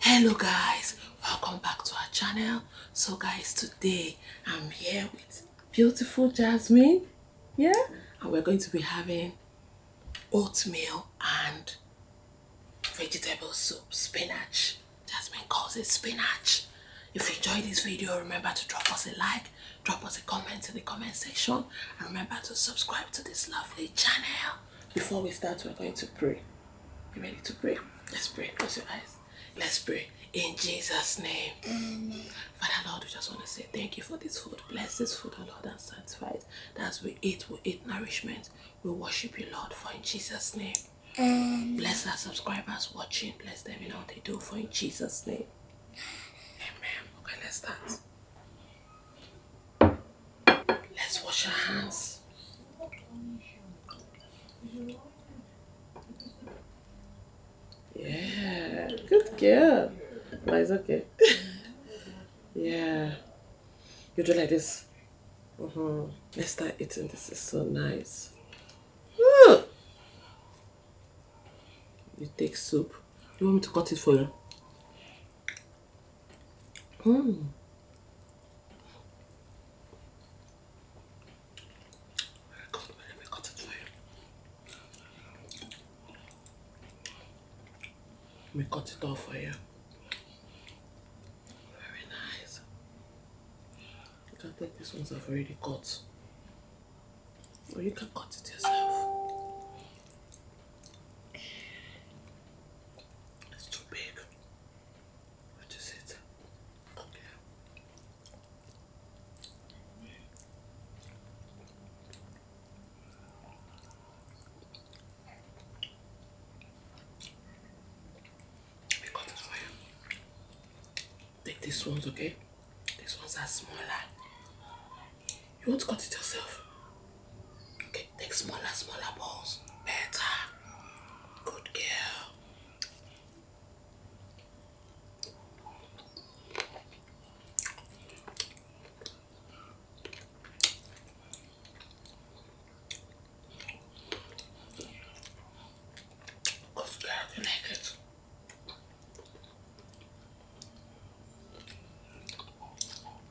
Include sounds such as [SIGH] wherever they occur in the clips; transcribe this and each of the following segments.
hello guys welcome back to our channel so guys today i'm here with beautiful jasmine yeah and we're going to be having oatmeal and vegetable soup spinach jasmine calls it spinach if you enjoyed this video remember to drop us a like drop us a comment in the comment section and remember to subscribe to this lovely channel before we start, we're going to pray. You ready to pray? Let's pray. Close your eyes. Let's pray. In Jesus' name. Amen. Father Lord, we just want to say thank you for this food. Bless this food, O Lord, and satisfy it. As we eat, we eat nourishment. We worship you, Lord, for in Jesus' name. Amen. Bless our subscribers watching. Bless them in all they do, for in Jesus' name. Amen. Okay, let's start. Let's wash our hands. Yeah, good girl. No, it's okay. [LAUGHS] yeah. You do like this. Uh mm-hmm. -huh. Let's start eating. This is so nice. You take soup. You want me to cut it for you? Hmm. Let me cut it off for you. Very nice. You can take these ones I've already cut. Or you can cut it yourself. It's too big. What is it? Yeah. We got it Take these ones, okay? These ones are smaller. You want to cut it yourself. Okay, take smaller, smaller balls. Better. Good girl. Good girl, you like it.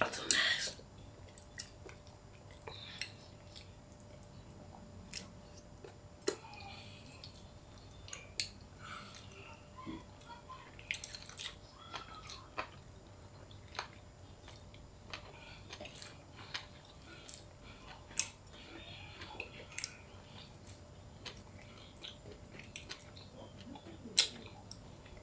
That's so nice.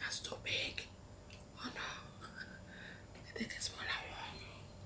That's too big. Oh no. [LAUGHS] I think it's one hour.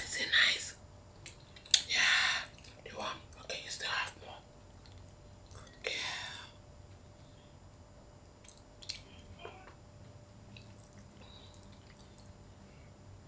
Is it nice? Yeah, you want? Okay, you still have more. Yeah.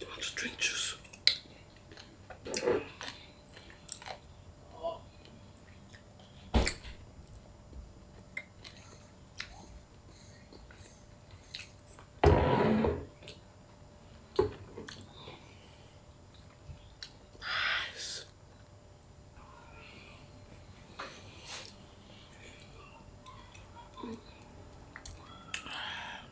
Do I just drink juice? Nice.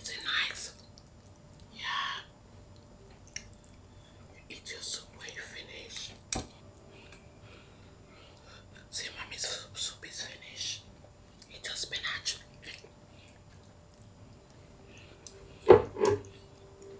Is it nice? Yeah. It just when finish. See, mommy's soup, soup is finished. It just been actually.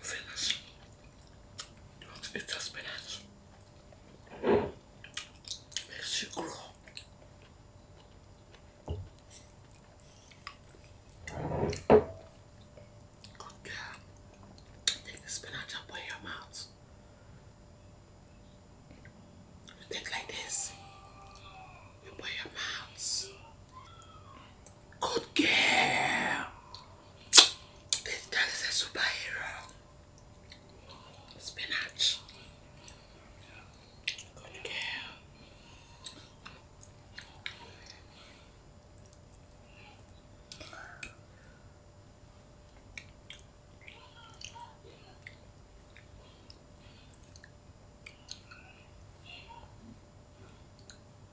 finish what it has been makes you grow. Good girl. Take the spinach up your mouth. You take like this. You put your mouth. Good girl. This girl is a superhero. Spinach. Good girl.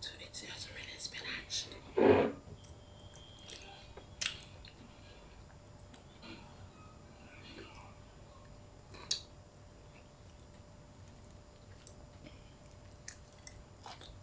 to eat it as really spinach.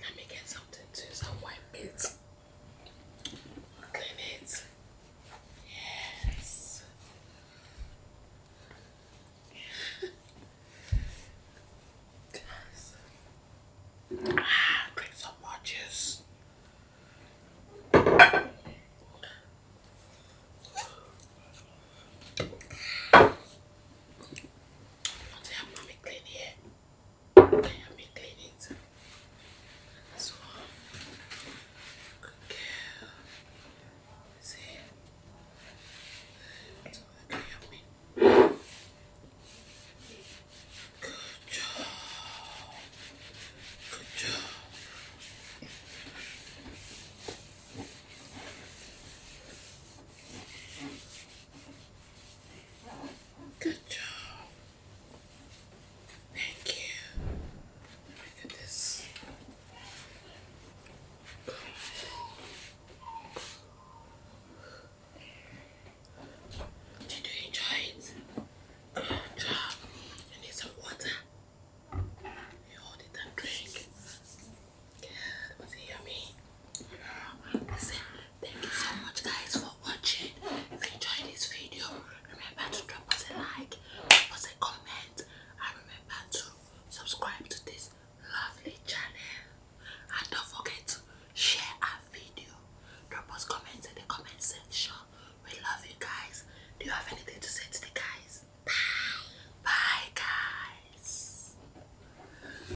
Let me get something to some white meat. Clean it. Yes. Ah, drink some more juice. What do clean here? I have been cleaning too. good job. Good job. Good job. Thank you. Look at this. Did you enjoy it? Good job. You need some water. You hold it drink. Good. Was it yummy? thank you so much guys for watching. If you enjoyed this video, remember to drop us a like, drop us a comment, and remember to subscribe to this lovely channel. And don't forget to share our video. Drop us comments in the comment section. We love you guys. Do you have anything to say to the guys? Bye. Bye guys.